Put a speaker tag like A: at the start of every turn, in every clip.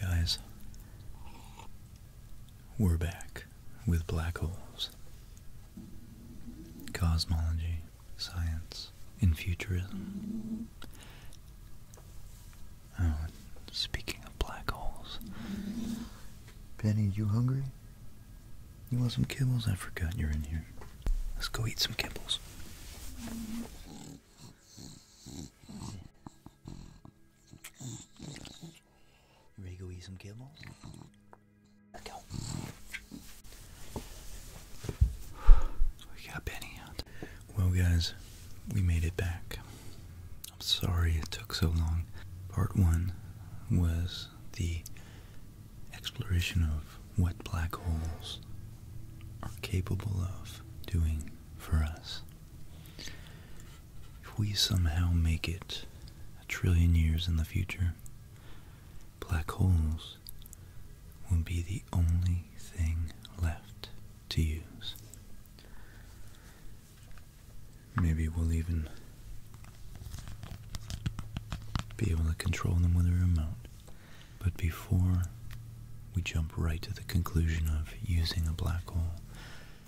A: Guys, we're back with black holes, cosmology, science, and futurism. Oh, speaking of black holes, Penny, you hungry? You want some kibbles? I forgot you're in here. Let's go eat some kibbles. You go eat some kibble? Let's We got Benny out. Well, guys, we made it back. I'm sorry it took so long. Part one was the exploration of what black holes are capable of doing for us. If we somehow make it a trillion years in the future, black holes will be the only thing left to use. Maybe we'll even be able to control them with a remote. But before we jump right to the conclusion of using a black hole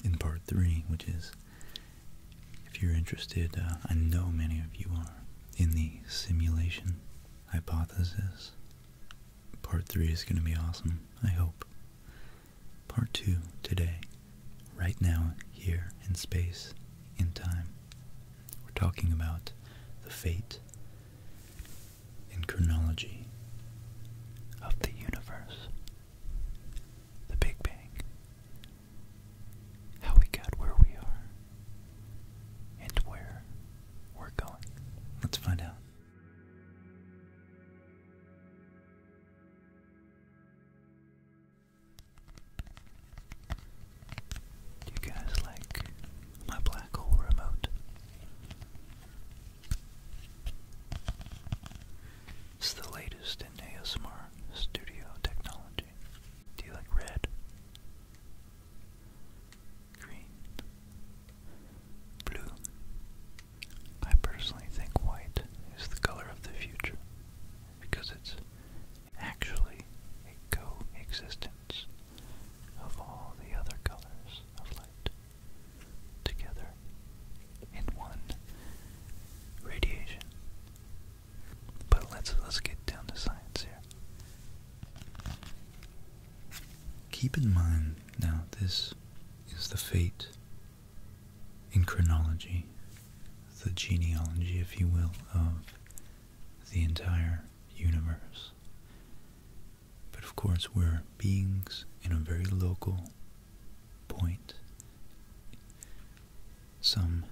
A: in part three, which is if you're interested, uh, I know many of you are, in the simulation hypothesis. Part three is going to be awesome, I hope. Part two today, right now, here, in space, in time. We're talking about the fate in chronology of the universe, the Big Bang, how we got where we are, and where we're going. Let's find out. you guys like my black hole remote? It's the latest in ASMR studio technology. Do you like red? Green? Blue? I personally think white is the color of the future because it's actually coexistence of all the other colors of light together in one radiation. But let's let's get down to science here. Keep in mind now this is the fate in chronology, the genealogy, if you will, of the entire universe. But of course, we're beings in a very local point. Some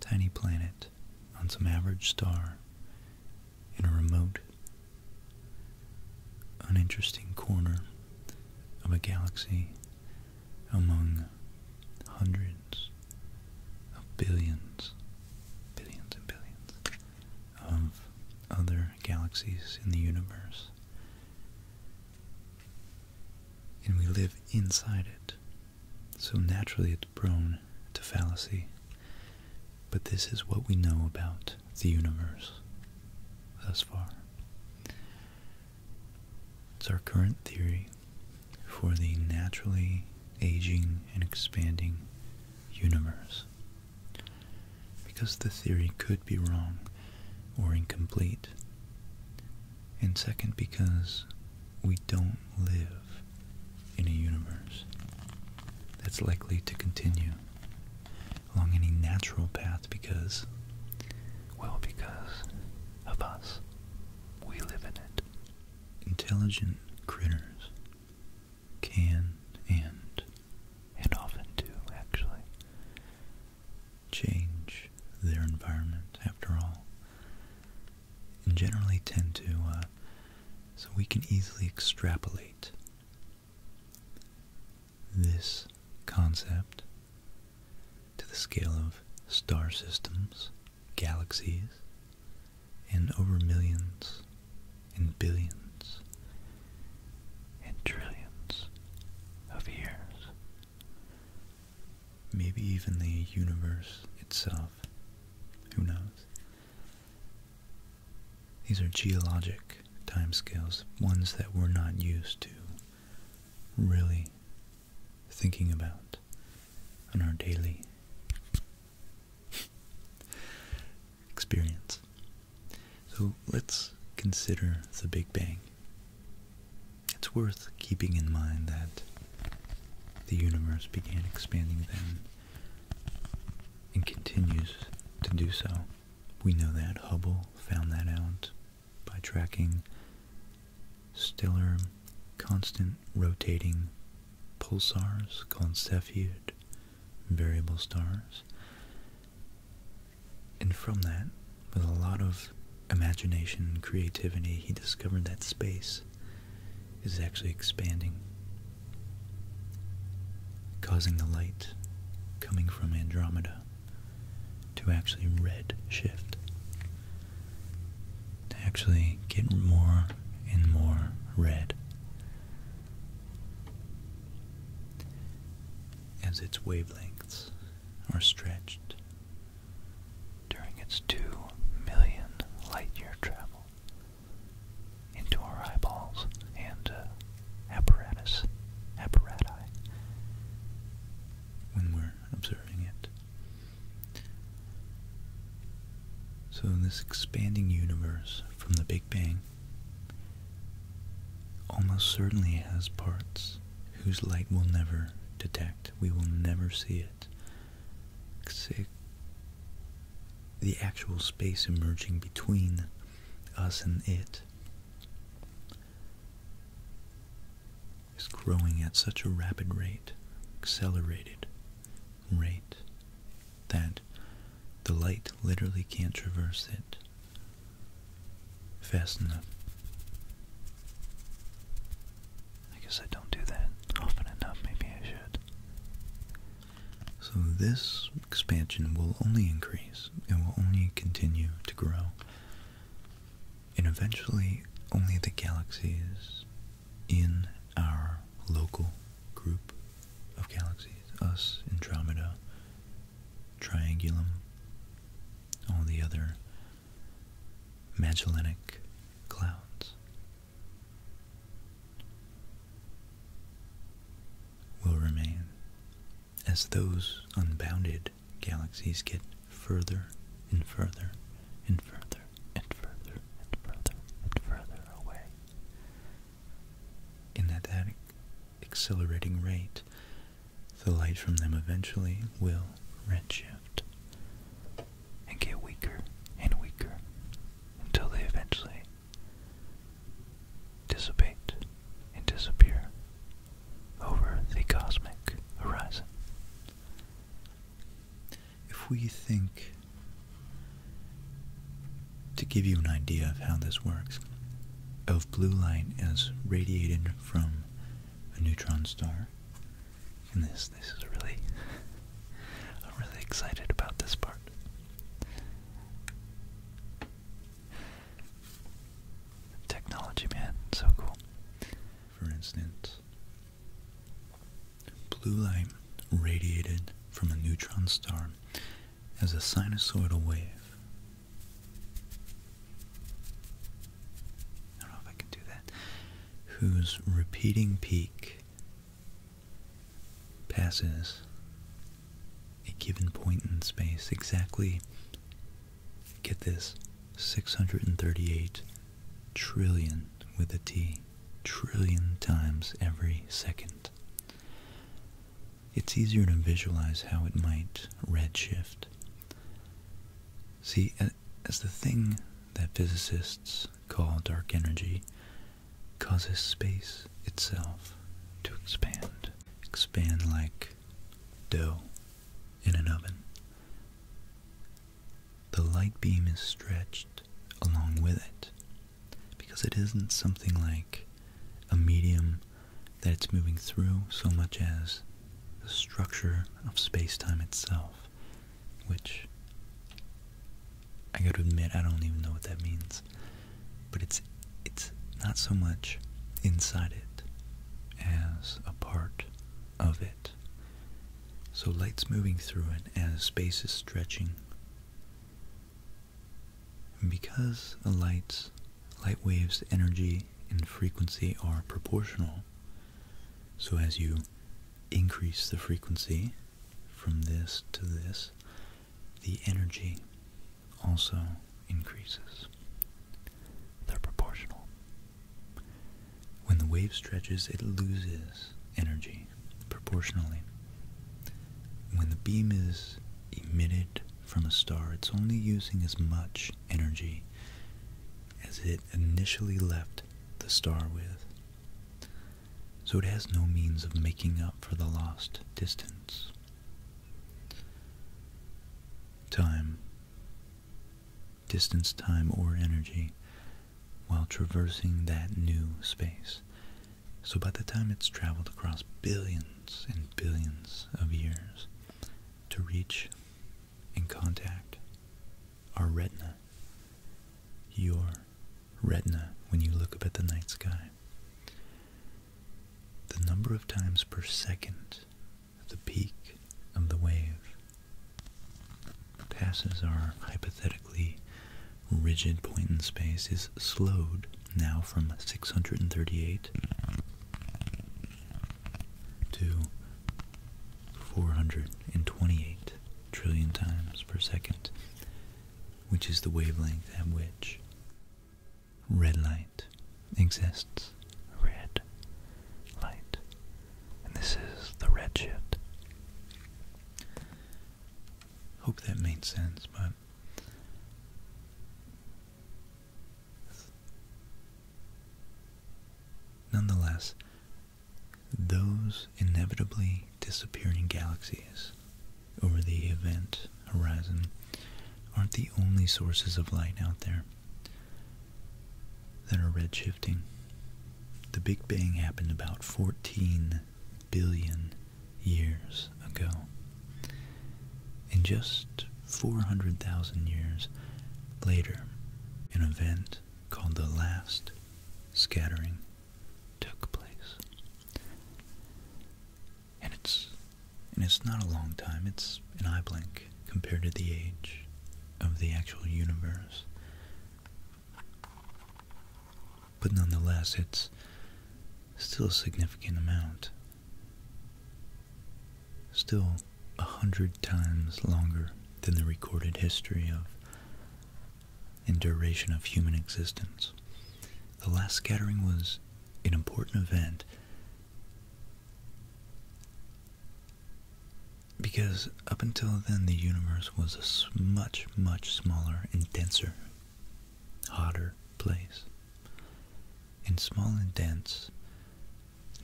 A: tiny planet on some average star in a remote, uninteresting corner of a galaxy among hundreds of billions, billions and billions of other galaxies in the universe. And we live inside it. So naturally it's prone to fallacy. But this is what we know about the universe thus far. It's our current theory for the naturally aging and expanding universe. Because the theory could be wrong or incomplete. And second, because we don't live in a universe that's likely to continue along any natural path because, well, because of us. We live in it. Intelligent critters can and and often do actually change their environment after all and generally tend to uh, so we can easily extrapolate this concept to the scale of star systems, galaxies, and over millions and billions and trillions of years. Maybe even the universe itself. Who knows? These are geologic time scales, ones that we're not used to really thinking about on our daily experience. So let's consider the Big Bang. It's worth keeping in mind that the universe began expanding then and continues to do so. We know that Hubble found that out by tracking stellar constant rotating pulsars called Cepheid variable stars. And from that, with a lot of imagination, and creativity, he discovered that space is actually expanding, causing the light coming from Andromeda to actually red shift, to actually get more and more red as its wavelengths are stretched during its 2 million light year travel into our eyeballs and uh, apparatus, when we're observing it. So, this expanding universe from the Big Bang almost certainly has parts whose light we'll never detect. We will never see it. The actual space emerging between us and it is growing at such a rapid rate, accelerated rate, that the light literally can't traverse it fast enough. I guess I don't do that often enough, maybe I should. So this expansion will only increase, it will only continue to grow, and eventually only the galaxies in our local group of galaxies us, Andromeda, Triangulum, all the other Magellanic clouds. Will remain as those unbounded galaxies get further and further and further and further and further and further away in at that accelerating rate, the light from them eventually will redshift and get weaker and weaker until they eventually dissipate and disappear over the cosmic horizon. If we think to give you an idea of how this works, of blue light as radiated from a neutron star, and this this is really I'm really excited about this part. Technology man, so cool. For instance, Blue light radiated from a neutron star as a sinusoidal wave. I don't know if I can do that. Whose repeating peak passes a given point in space exactly, get this, 638 trillion with a T, trillion times every second it's easier to visualize how it might redshift. See, as the thing that physicists call dark energy causes space itself to expand, expand like dough in an oven. The light beam is stretched along with it because it isn't something like a medium that it's moving through so much as the structure of space-time itself, which I gotta admit I don't even know what that means. But it's it's not so much inside it as a part of it. So light's moving through it as space is stretching because a light waves energy and frequency are proportional, so as you increase the frequency from this to this, the energy also increases. They're proportional. When the wave stretches, it loses energy proportionally. When the beam is emitted from a star, it's only using as much energy as it initially left the star with. So it has no means of making up for the lost distance. Time, distance, time, or energy while traversing that new space so by the time it's traveled across billions and billions of years to reach and contact our retina, your retina when you look up at the night sky, the number of times per second the peak of the wave passes our hypothetical the rigid point in space is slowed now from 638 to 428 trillion times per second, which is the wavelength at which red light exists. Red light. And this is the red Hope that made sense, but Nonetheless, those inevitably disappearing galaxies over the event horizon aren't the only sources of light out there that are redshifting. The Big Bang happened about 14 billion years ago. And just 400,000 years later, an event called the last scattering took place. And it's and it's not a long time, it's an eye blink compared to the age of the actual universe but nonetheless, it's still a significant amount. Still a hundred times longer than the recorded history of in duration of human existence. The last scattering was an important event because up until then the universe was much, much smaller and denser hotter place. And small and dense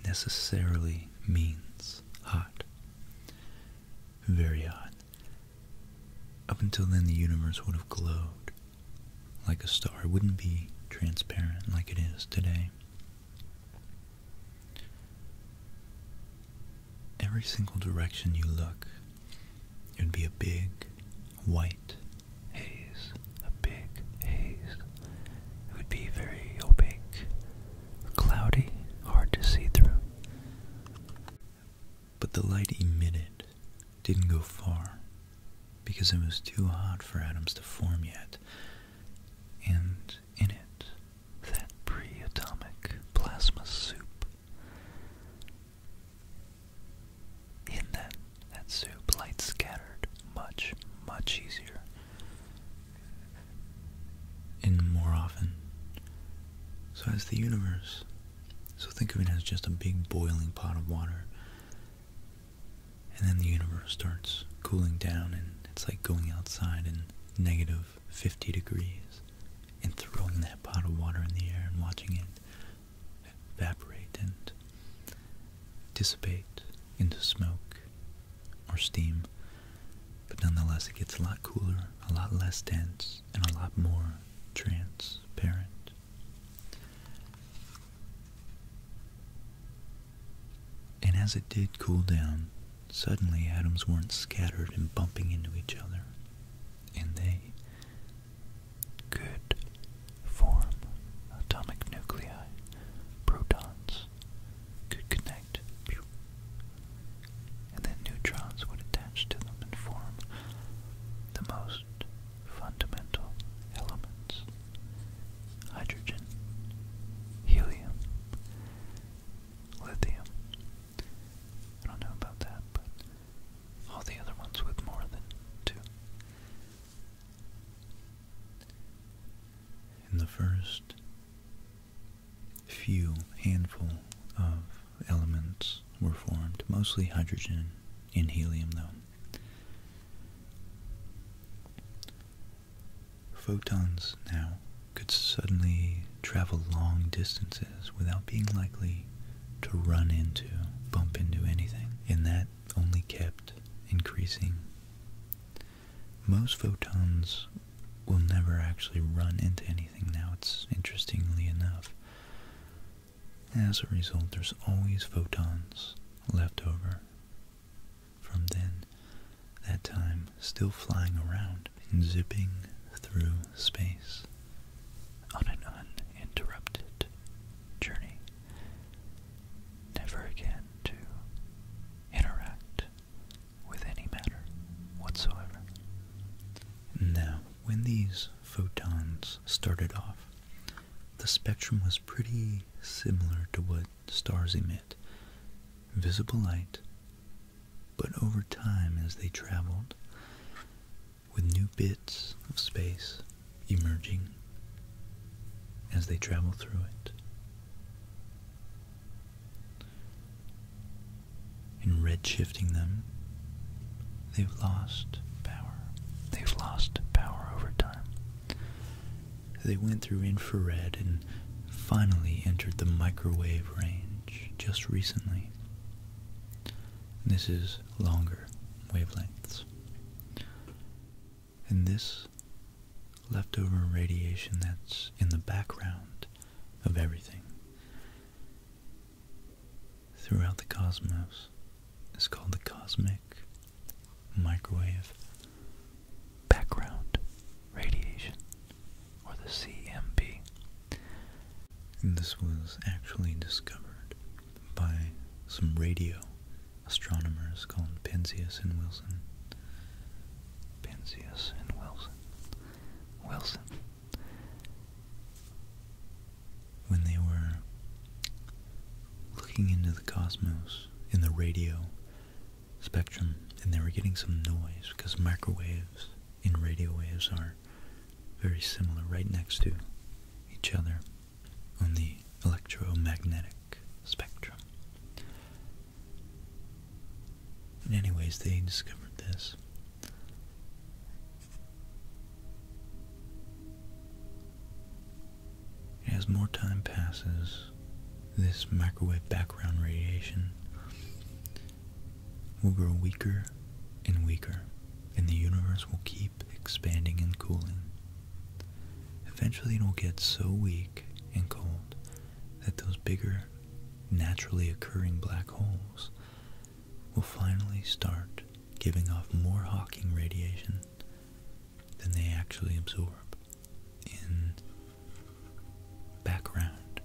A: necessarily means hot. Very hot. Up until then, the universe would have glowed like a star. It wouldn't be transparent like it is today. Every single direction you look it would be a big white haze, a big haze. It would be very opaque, oh, cloudy, hard to see through. But the light emitted didn't go far because it was too hot for atoms to form yet. And in it, that pre atomic plasma soup. In that, that soup, light scattered, much, much easier. And more often. So as the universe. So think of it as just a big boiling pot of water. And then the universe starts cooling down and it's like going outside in negative 50 degrees and throwing that pot of water in the air and watching it evaporate and dissipate into smoke or steam, but nonetheless it gets a lot cooler, a lot less dense, and a lot more transparent. And as it did cool down, suddenly atoms weren't scattered and bumping into each other, and they could form atomic nuclei. Protons could connect, and then neutrons would attach to them and form the most fundamental elements hydrogen, helium, lithium. I don't know about that, but all the other ones with more than two. In the first few handful of elements were formed, mostly hydrogen and helium though. Photons now could suddenly travel long distances without being likely to run into, bump into anything, and that only kept increasing. Most photons will never actually run into anything now, it's interestingly enough. As a result, there's always photons left over from then, that time, still flying around and zipping through space on an uninterrupted journey, never again to interact with any matter whatsoever. Now, when these photons started off, the spectrum was pretty similar to what stars emit visible light, but over time as they traveled, with new bits of space emerging as they travel through it. In redshifting them, they've lost power. They've lost power over time. They went through infrared and finally entered the microwave range just recently. This is longer wavelengths. And this leftover radiation that's in the background of everything throughout the cosmos is called the cosmic microwave background radiation or the CMB. And this was actually discovered by some radio astronomers called Penzias and Wilson. Penzias and Wilson. Wilson. When they were looking into the cosmos in the radio spectrum and they were getting some noise because microwaves and radio waves are very similar, right next to each other on the electromagnetic spectrum. And anyways, they discovered this. As more time passes, this microwave background radiation will grow weaker and weaker, and the universe will keep expanding and cooling. Eventually, it will get so weak and cold that those bigger, naturally occurring black holes will finally start giving off more Hawking radiation than they actually absorb in background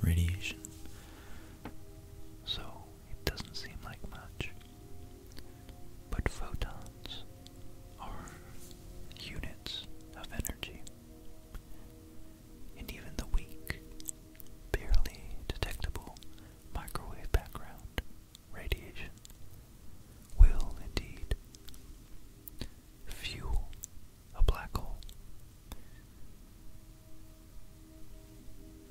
A: radiation. So, it doesn't seem like much. But photons are units of energy. And even the weak, barely detectable microwave background radiation will indeed fuel a black hole.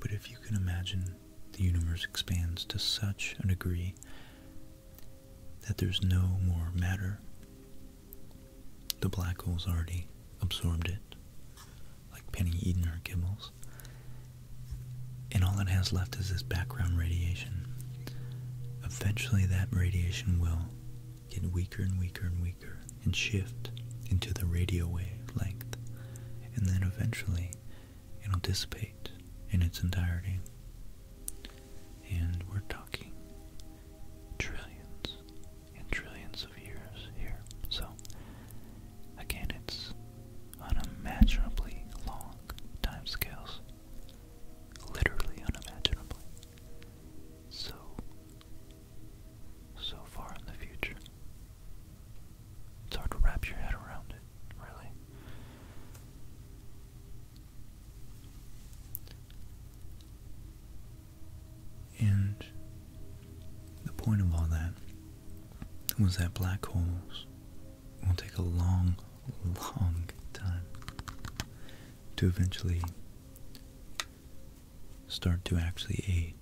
A: But if you can imagine the universe expands to such a degree that there's no more matter, the black hole's already absorbed it, like Penny Eden or Gibbles, and all that has left is this background radiation. Eventually, that radiation will get weaker and weaker and weaker and shift into the radio wave length, and then eventually it'll dissipate in its entirety. And we're talking trillions and trillions of years here. So, again, it's unimaginably long timescales. Literally unimaginably. So, so far in the future. It's hard to wrap your head around it, really. And the point of all that was that black holes will take a long, long time to eventually start to actually age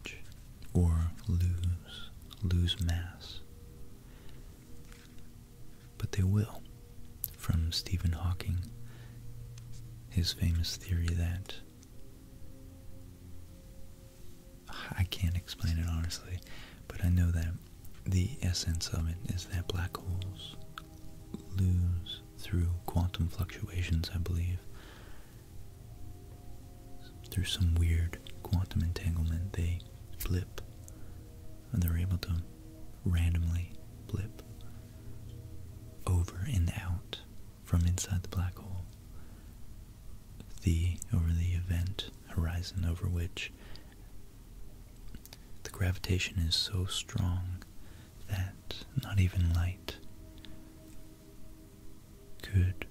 A: or lose, lose mass. But they will. From Stephen Hawking, his famous theory that I can't explain it honestly, but I know that the essence of it is that black holes lose through quantum fluctuations, I believe, through some weird quantum entanglement, they blip, and they're able to randomly blip over and out from inside the black hole. The over the event horizon over which the gravitation is so strong that not even light could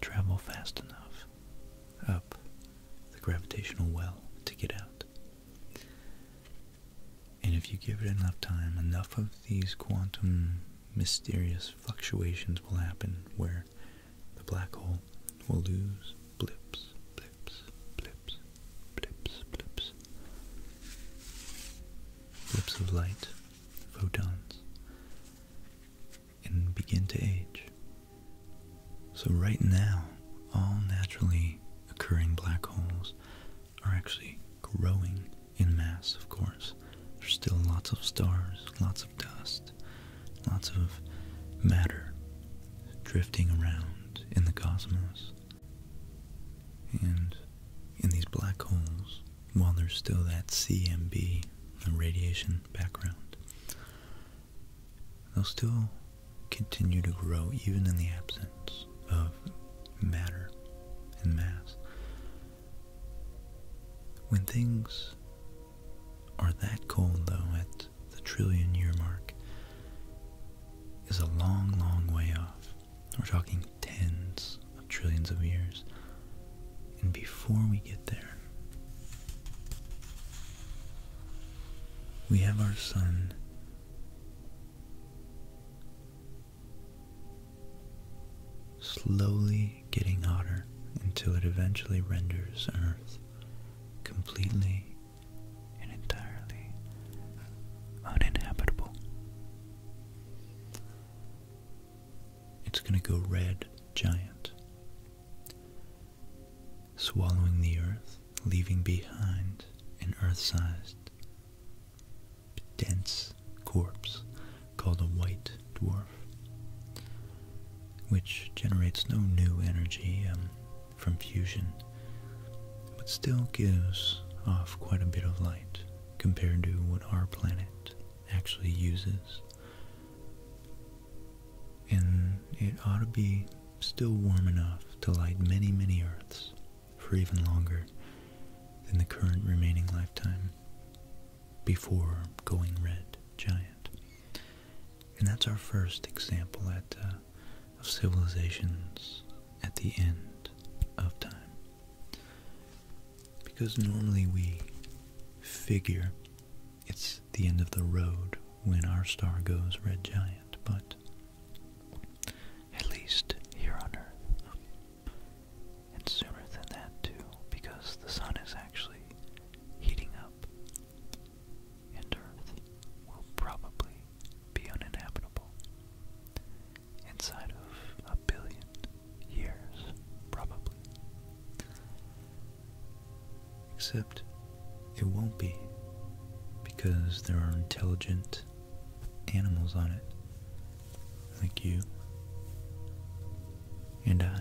A: travel fast enough up the gravitational well to get out. And if you give it enough time, enough of these quantum mysterious fluctuations will happen where the black hole will lose blips, blips, blips, blips, blips, blips of light, photons, and begin to age. So right now, all naturally occurring black holes are actually growing in mass, of course. There's still lots of stars, lots of dust, lots of matter drifting around in the cosmos. And in these black holes, while there's still that CMB, radiation background, they'll still continue to grow even in the absence of matter and mass. When things are that cold, though, at the trillion year mark, is a long, long way off. We're talking tens of trillions of years. And before we get there, we have our sun slowly getting hotter until it eventually renders Earth completely and entirely uninhabitable. It's going to go red giant swallowing the earth, leaving behind an earth-sized, dense corpse called a white dwarf, which generates no new energy um, from fusion, but still gives off quite a bit of light compared to what our planet actually uses and it ought to be still warm enough to light many, many Earths for even longer than the current remaining lifetime before going red giant. And that's our first example at, uh, of civilizations at the end of time. Because normally we figure it's the end of the road when our star goes red giant, but at least here on Earth. And sooner than that, too, because the sun is actually heating up, and Earth will probably be uninhabitable inside of a billion years, probably. Except it won't be because there are intelligent animals on it, like you and I,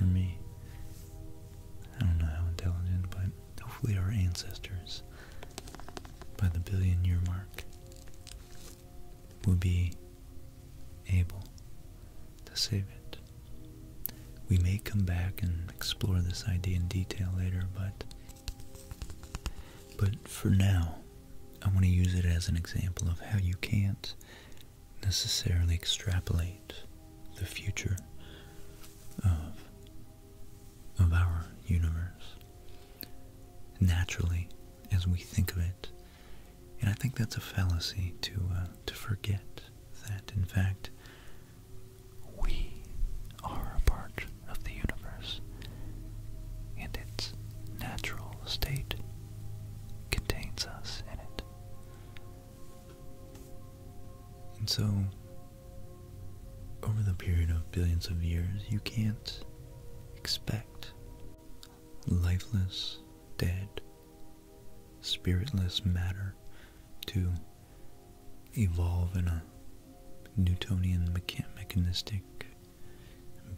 A: or me. I don't know how intelligent, but hopefully our ancestors, by the billion year mark, will be able to save it. We may come back and explore this idea in detail later, but but for now, I want to use it as an example of how you can't necessarily extrapolate the future of of our universe. Naturally, as we think of it, and I think that's a fallacy to uh, to forget that, in fact, we are a part of the universe, and its natural state contains us in it. And so, over the period of billions of years, you can't expect lifeless, dead spiritless matter to evolve in a Newtonian mechanistic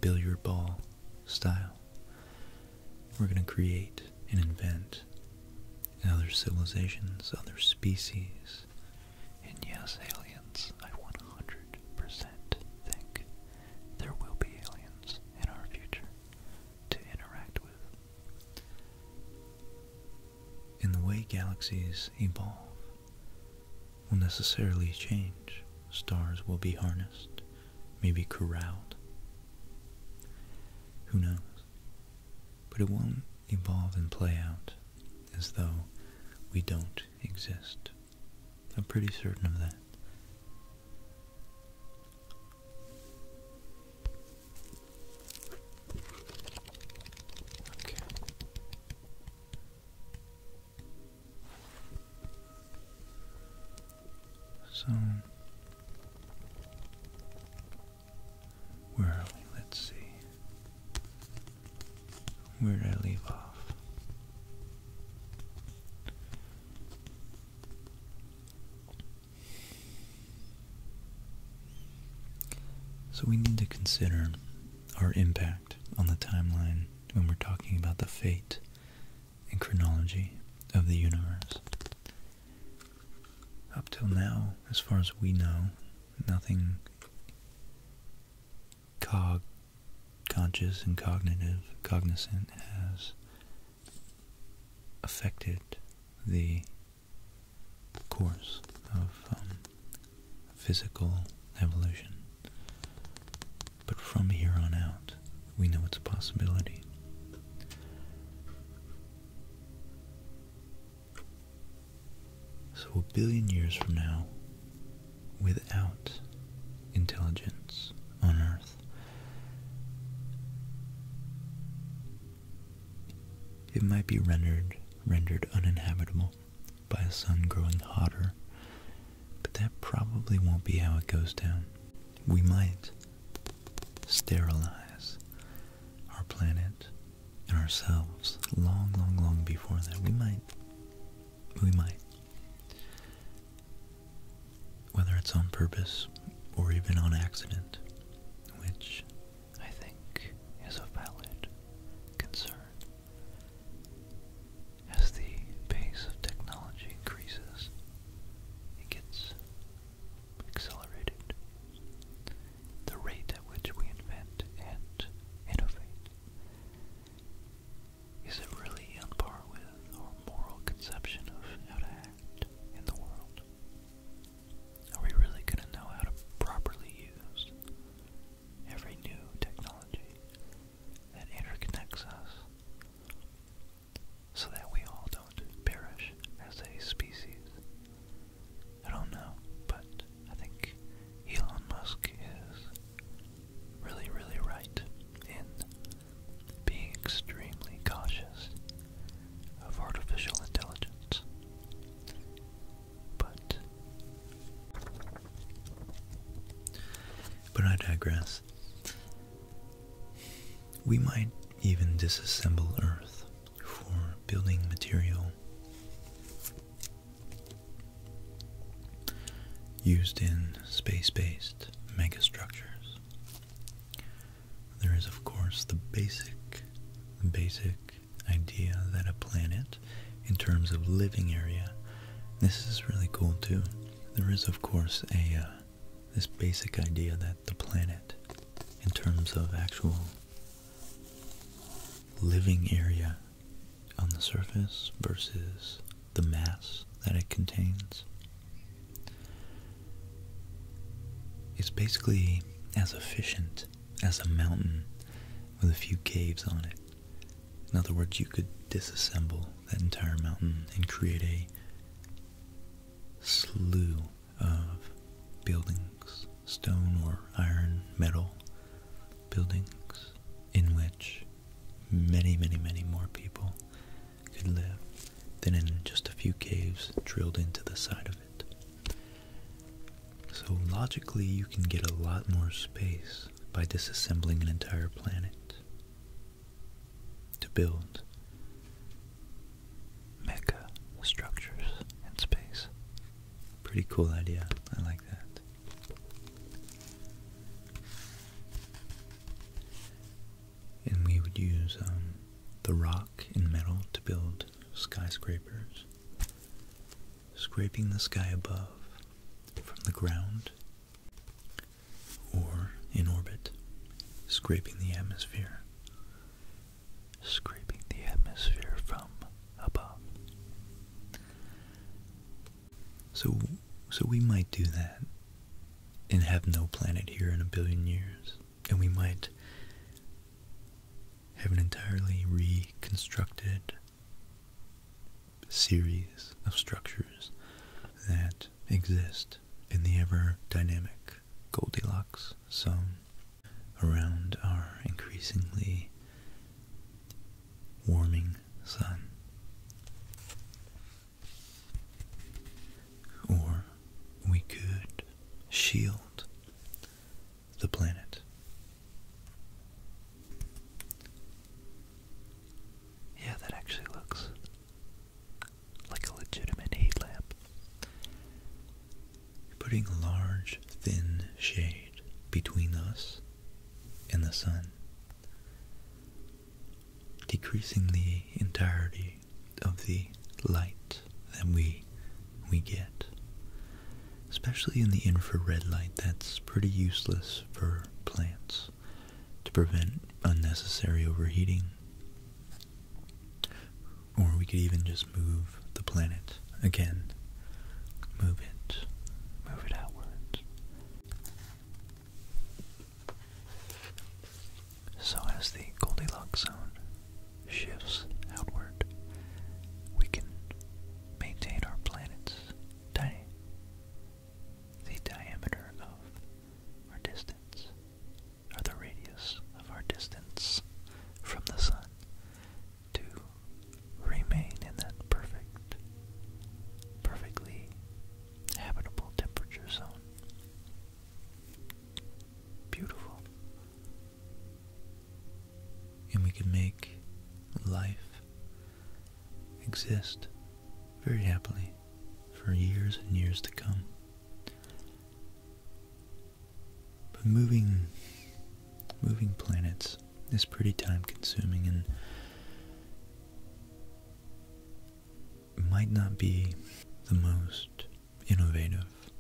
A: billiard ball style. We're going to create and invent other civilizations, other species, and yes, aliens. I 100 think there will be aliens in our future to interact with. And the way galaxies evolve will necessarily change. Stars will be harnessed, maybe corralled. Who knows? But it won't evolve and play out as though we don't exist. I'm pretty certain of that. So where are we? Let's see. Where did I leave off? So we need to consider our impact on the timeline when we're talking about the fate and chronology of the universe. Up till now, as far as we know, nothing cog conscious and cognitive cognizant has affected the course of um, physical evolution. But from here on out, we know it's a possibility. So a billion years from now, without intelligence on Earth, it might be rendered rendered uninhabitable by a sun growing hotter, but that probably won't be how it goes down. We might sterilize our planet and ourselves long, long, long before that. We might. We might whether it's on purpose or even on accident, which I think is a valid concern. As the pace of technology increases, it gets accelerated. The rate at which we invent and innovate. Is it really on par with our moral conception of how to act? in the world? Are we really going to know how to properly use every new technology that interconnects us so that we all don't perish as a species? I don't know, but I think Elon Musk is really, really right in being extremely cautious of artificial intelligence. But but I digress. We might even disassemble Earth for building material used in space-based megastructures. There is, of course, the basic, basic idea that a planet, in terms of living area, this is really cool too. There is, of course, a uh, this basic idea that the planet, in terms of actual living area on the surface versus the mass that it contains it's basically as efficient as a mountain with a few caves on it. In other words, you could disassemble that entire mountain and create a slew of buildings, stone or iron, metal buildings, in which many, many, many more people could live than in just a few caves drilled into the side of it. So logically, you can get a lot more space by disassembling an entire planet to build mecha structures in space. Pretty cool idea. I like that and we would use um, the rock and metal to build skyscrapers, scraping the sky above from the ground or in orbit, scraping the atmosphere, scraping the atmosphere from above. So, so we might do that and have no planet here in a billion years and we might have an entirely reconstructed series of structures that exist in the ever dynamic Goldilocks zone around our increasingly warming sun. Or we could shield the planet. Yeah, that actually looks like a legitimate heat lamp. putting a large, thin shade between us and the sun, decreasing the entirety of the light that we we get. Especially in the infrared light, that's pretty useless for plants to prevent unnecessary overheating. Or we could even just move the planet again. Move it. Move it outwards. So, as the Goldilocks zone shifts outward, we can maintain our planet's the diameter of our distance, or the radius of our distance from the sun, to remain in that perfect, perfectly habitable temperature zone. Beautiful. And we can make life exist very happily for years and years to come. But moving moving planets is pretty time consuming and might not be the most innovative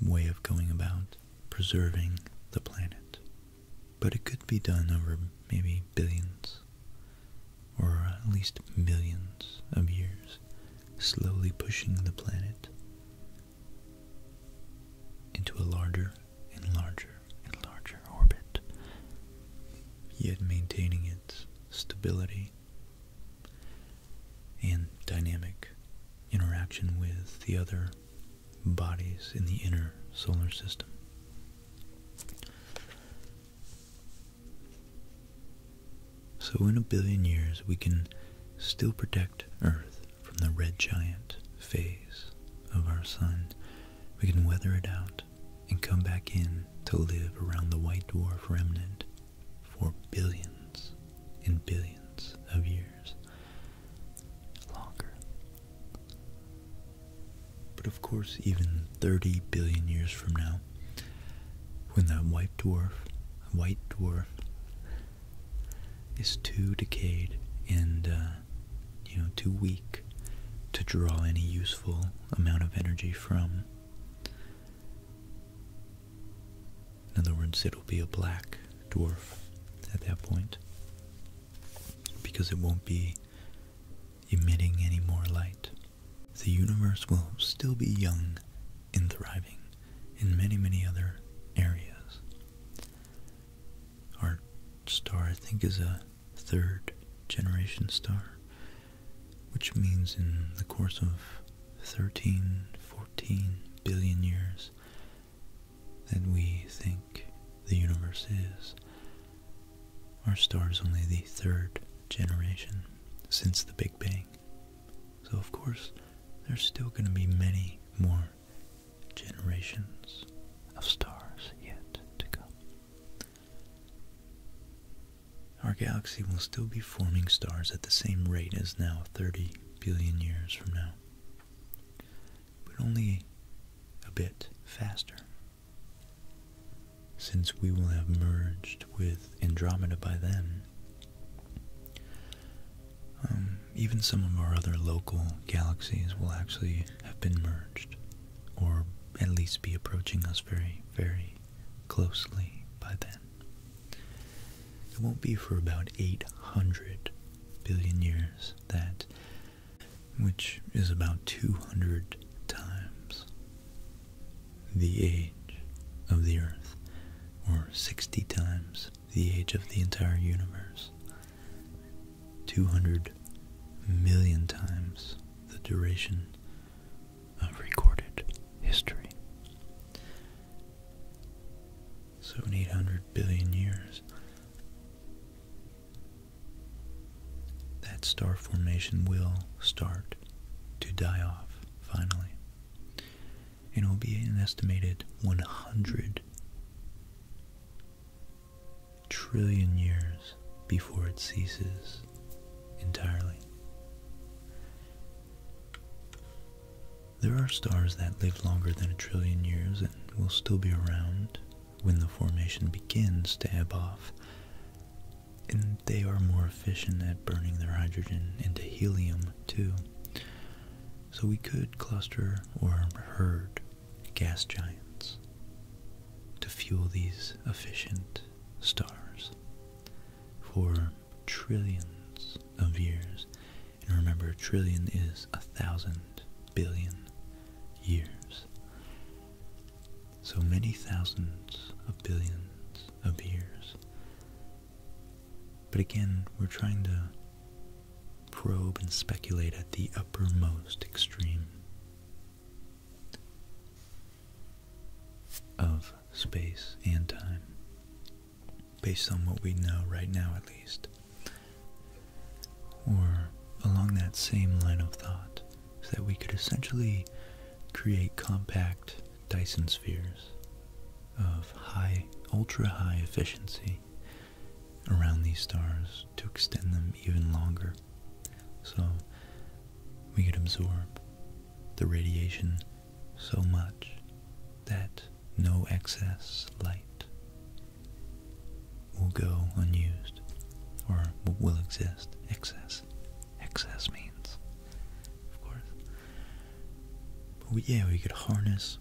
A: way of going about preserving the planet. But it could be done over maybe billions or at least millions of years, slowly pushing the planet into a larger and larger and larger orbit, yet maintaining its stability and dynamic interaction with the other bodies in the inner solar system. So in a billion years we can still protect Earth from the red giant phase of our sun. We can weather it out and come back in to live around the white dwarf remnant for billions and billions of years longer. But of course, even 30 billion years from now, when that white dwarf, white dwarf, is too decayed and uh, you know too weak to draw any useful amount of energy from, in other words, it'll be a black dwarf at that point because it won't be emitting any more light. The universe will still be young and thriving in many, many other areas. Our star, I think, is a third generation star which means in the course of 13, 14 billion years that we think the universe is, our stars only the third generation since the Big Bang. So of course, there's still going to be many more generations of stars yet to come. Our galaxy will still be forming stars at the same rate as now 30 billion years from now, but only a bit faster. Since we will have merged with Andromeda by then, um, even some of our other local galaxies will actually have been merged, or at least be approaching us very, very closely by then. It won't be for about 800 billion years, that, which is about 200 times the age of the Earth, or 60 times the age of the entire universe. 200 million times the duration of recorded history. So 800 billion years, that star formation will start to die off finally. And it will be an estimated 100 trillion years before it ceases entirely. There are stars that live longer than a trillion years and will still be around when the formation begins to ebb and they are more efficient at burning their hydrogen into helium too. So we could cluster or herd gas giants to fuel these efficient stars for trillions of years. And remember, a trillion is a thousand billion years. So many thousands of billions of years. But again, we're trying to probe and speculate at the uppermost extreme of space and time based on what we know right now at least. Or along that same line of thought, so that we could essentially create compact Dyson spheres of high, ultra high efficiency around these stars to extend them even longer. So we could absorb the radiation so much that no excess light will go unused or will exist. Excess. Excess means, of course. But yeah, we could harness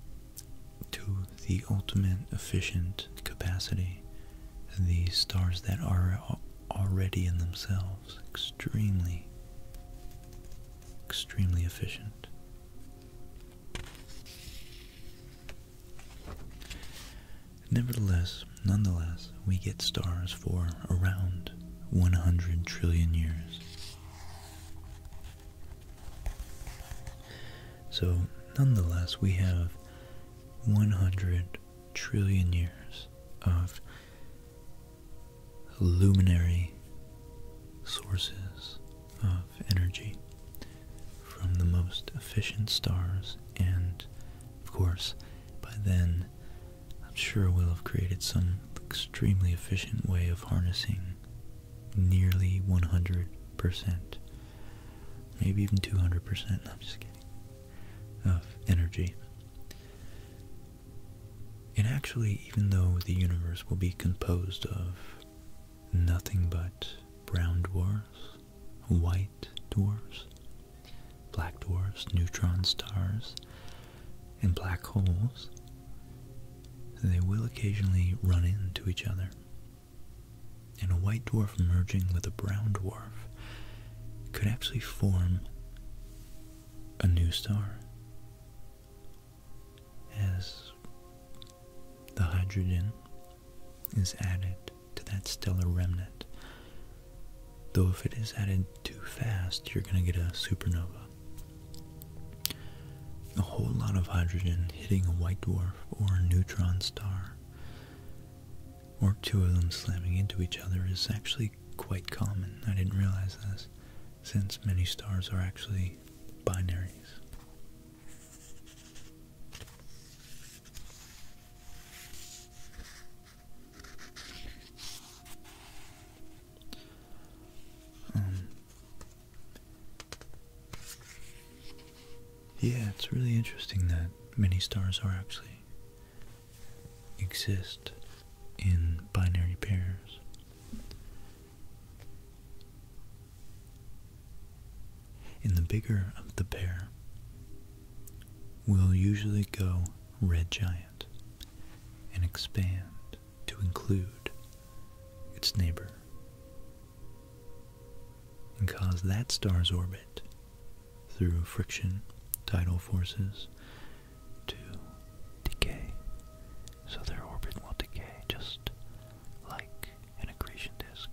A: to the ultimate efficient capacity these stars that are already in themselves extremely extremely efficient. Nevertheless, nonetheless, we get stars for around 100 trillion years. So, nonetheless, we have 100 trillion years of luminary sources of energy from the most efficient stars and of course by then I'm sure we'll have created some extremely efficient way of harnessing nearly 100% maybe even 200% I'm just kidding of energy and actually, even though the universe will be composed of nothing but brown dwarfs, white dwarfs, black dwarfs, neutron stars, and black holes, they will occasionally run into each other. And a white dwarf merging with a brown dwarf could actually form a new star as the hydrogen is added to that stellar remnant. Though if it is added too fast, you're going to get a supernova. A whole lot of hydrogen hitting a white dwarf or a neutron star, or two of them slamming into each other, is actually quite common. I didn't realize this, since many stars are actually binaries. Um, yeah, it's really interesting that many stars are actually exist in binary pairs. In the bigger of the pair, will usually go red giant and expand to include its neighbor and cause that star's orbit through friction, tidal forces, to decay. So their orbit will decay just like an accretion disk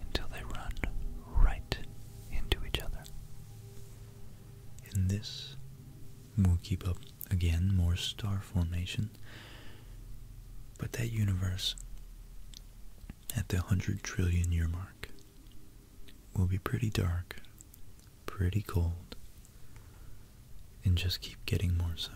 A: until they run right into each other. In this, we'll keep up again more star formation, but that universe at the 100 trillion year mark will be pretty dark pretty cold and just keep getting more so.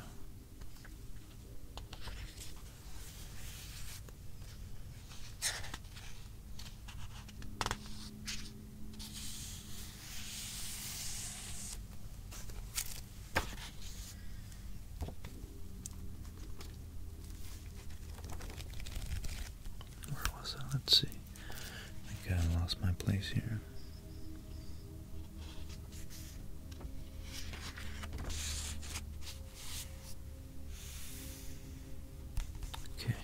A: Where was I? Let's see. I think I lost my place here. Okay.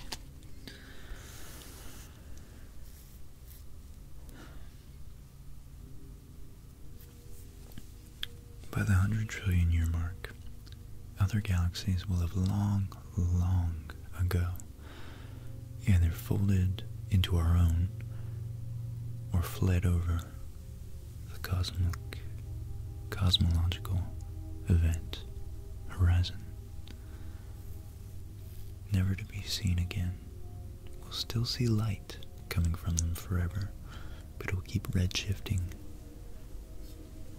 A: By the 100 trillion year mark, other galaxies will have long, long ago either folded into our own or fled over the cosmic, cosmological event horizon. Never to be seen again. We'll still see light coming from them forever, but it'll keep redshifting.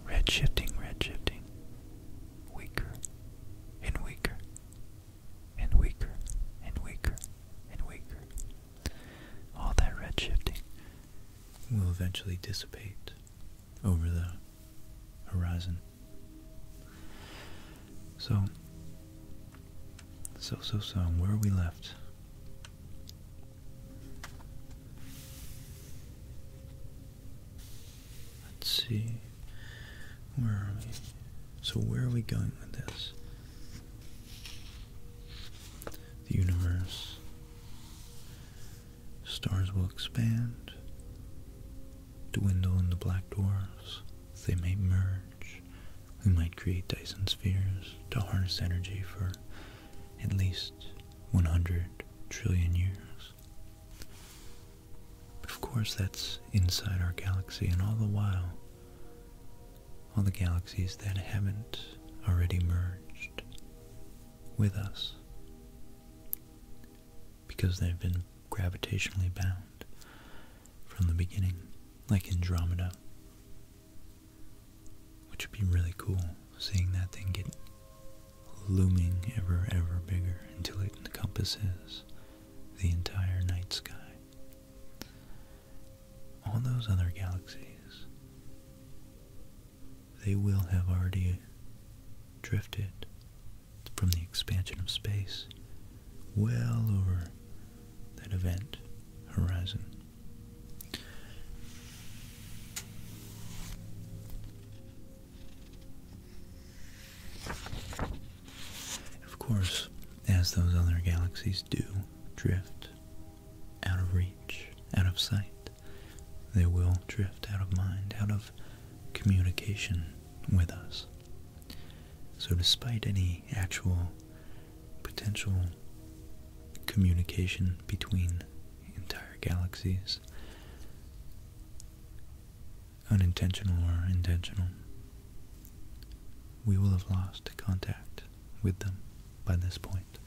A: Redshifting, redshifting. Weaker and weaker and weaker and weaker and weaker. All that redshifting will eventually dissipate over the horizon. So, so, so, so, where are we left? Let's see. Where are we? So where are we going with this? The universe. Stars will expand, dwindle into black dwarfs. They may merge. We might create Dyson spheres to harness energy for at least 100 trillion years. But of course, that's inside our galaxy, and all the while, all the galaxies that haven't already merged with us because they've been gravitationally bound from the beginning, like Andromeda, which would be really cool seeing that thing get looming ever, ever bigger until it encompasses the entire night sky. All those other galaxies, they will have already drifted from the expansion of space well over that event horizon. Of course, as those other galaxies do drift out of reach, out of sight, they will drift out of mind, out of communication with us. So, despite any actual potential communication between entire galaxies, unintentional or intentional, we will have lost contact with them by this point.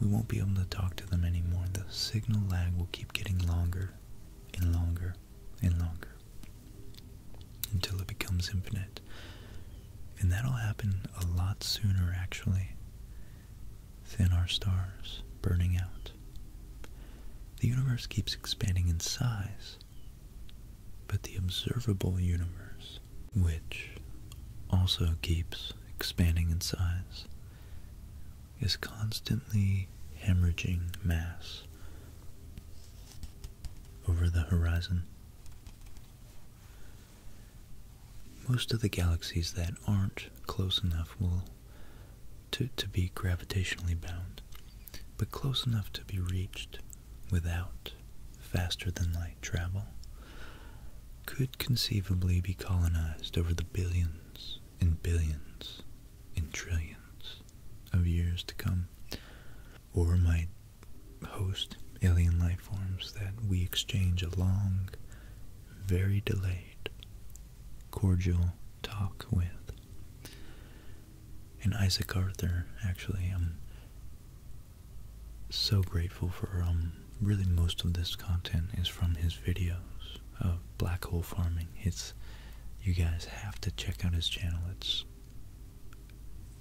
A: We won't be able to talk to them anymore. The signal lag will keep getting longer and longer and longer until it becomes infinite. And that'll happen a lot sooner, actually, Thin our stars burning out. The universe keeps expanding in size, but the observable universe, which also keeps expanding in size, is constantly hemorrhaging mass over the horizon. Most of the galaxies that aren't close enough will to, be gravitationally bound, but close enough to be reached without faster than light travel, could conceivably be colonized over the billions and billions and trillions of years to come, or might host alien life forms that we exchange a long, very delayed, cordial talk with. And Isaac Arthur, actually, I'm so grateful for, um, really most of this content is from his videos of black hole farming. It's, you guys have to check out his channel. It's,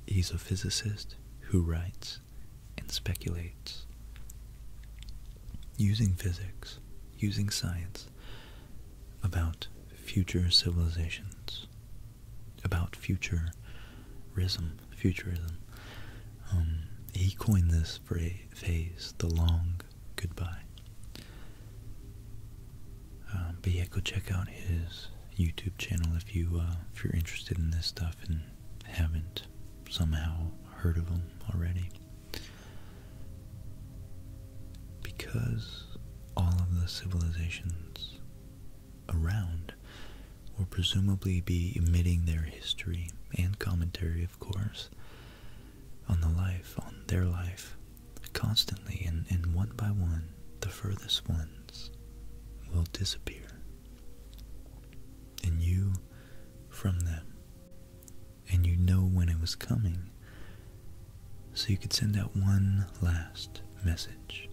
A: he's a physicist who writes and speculates using physics, using science about future civilizations, about futurism, futurism. Um, he coined this phrase, the long goodbye. Uh, but yeah, go check out his YouTube channel if you uh, if you're interested in this stuff and haven't somehow heard of him already. Because all of the civilizations around will presumably be emitting their history and commentary, of course, on the life, on their life, constantly, and, and one by one, the furthest ones will disappear. And you from them and you know when it was coming. So you could send out one last message.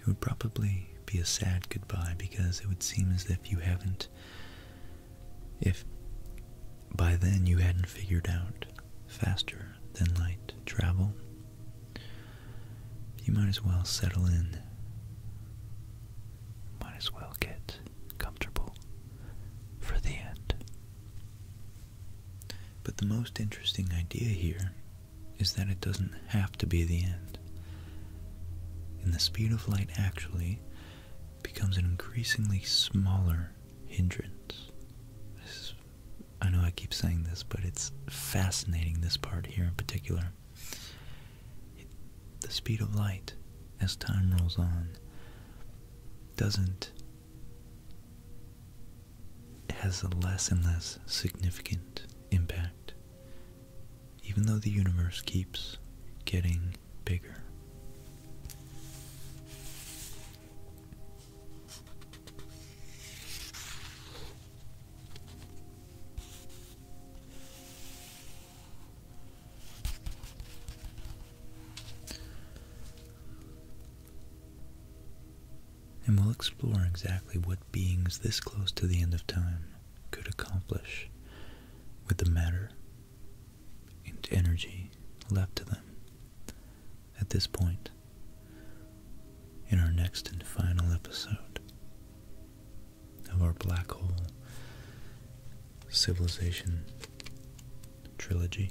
A: It would probably be a sad goodbye because it would seem as if you haven't, if by then you hadn't figured out faster than light travel, you might as well settle in. Might as well get comfortable for the end. But the most interesting idea here is that it doesn't have to be the end. And the speed of light actually becomes an increasingly smaller hindrance. I know I keep saying this, but it's fascinating, this part here in particular the speed of light as time rolls on doesn't has a less and less significant impact even though the universe keeps getting bigger and we'll explore exactly what beings this close to the end of time could accomplish with the matter and energy left to them at this point in our next and final episode of our black hole civilization trilogy.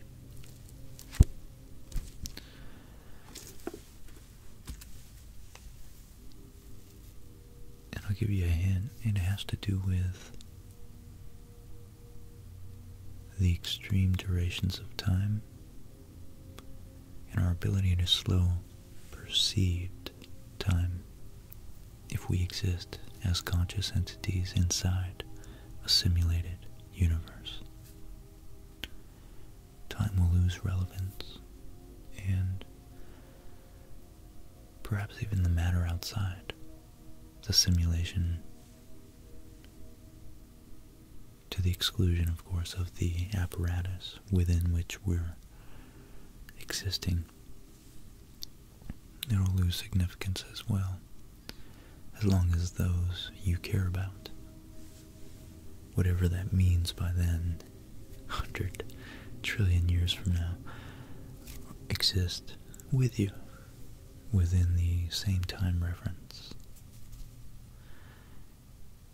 A: And I'll give you a hint, it has to do with the extreme durations of time and our ability to slow perceived time. If we exist as conscious entities inside a simulated universe, time will lose relevance and perhaps even the matter outside the simulation to the exclusion, of course, of the apparatus within which we're existing it'll lose significance as well, as long as those you care about, whatever that means by then, 100 trillion years from now, exist with you within the same time reference.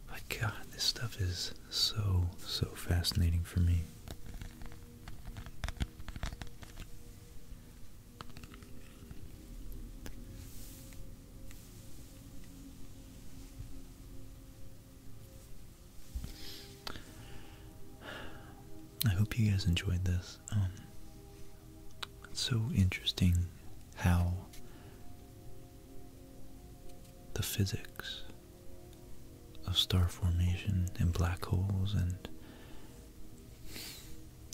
A: But God, this stuff is so, so fascinating for me. I hope you guys enjoyed this. Um, it's so interesting how the physics of star formation and black holes and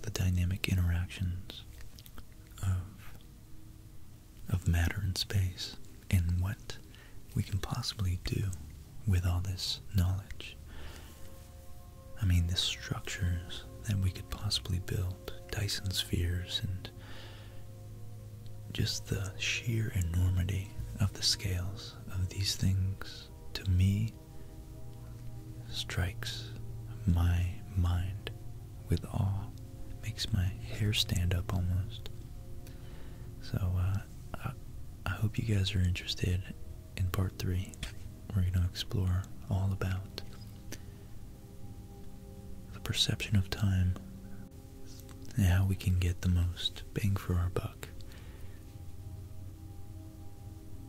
A: the dynamic interactions of of matter and space and what we can possibly do with all this knowledge. I mean, the structures that we could possibly build, Dyson spheres, and just the sheer enormity of the scales of these things to me strikes my mind with awe, makes my hair stand up almost. So uh, I hope you guys are interested in part three. We're going to explore all about the perception of time and how we can get the most bang for our buck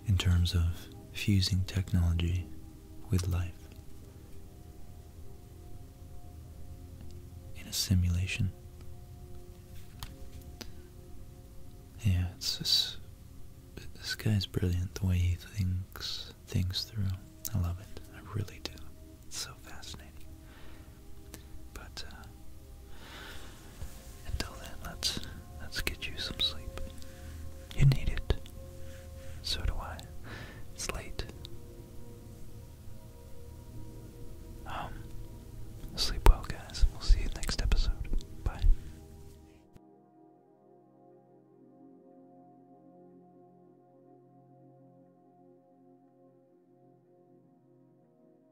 A: in terms of fusing technology with life in a simulation. Yeah, it's just, this guy's brilliant the way he thinks things through. I love it. I really do. It's so fascinating. But uh, until then, let's let's get you some sleep. You need it. So do I. It's late. Um sleep well guys. We'll see you next episode. Bye.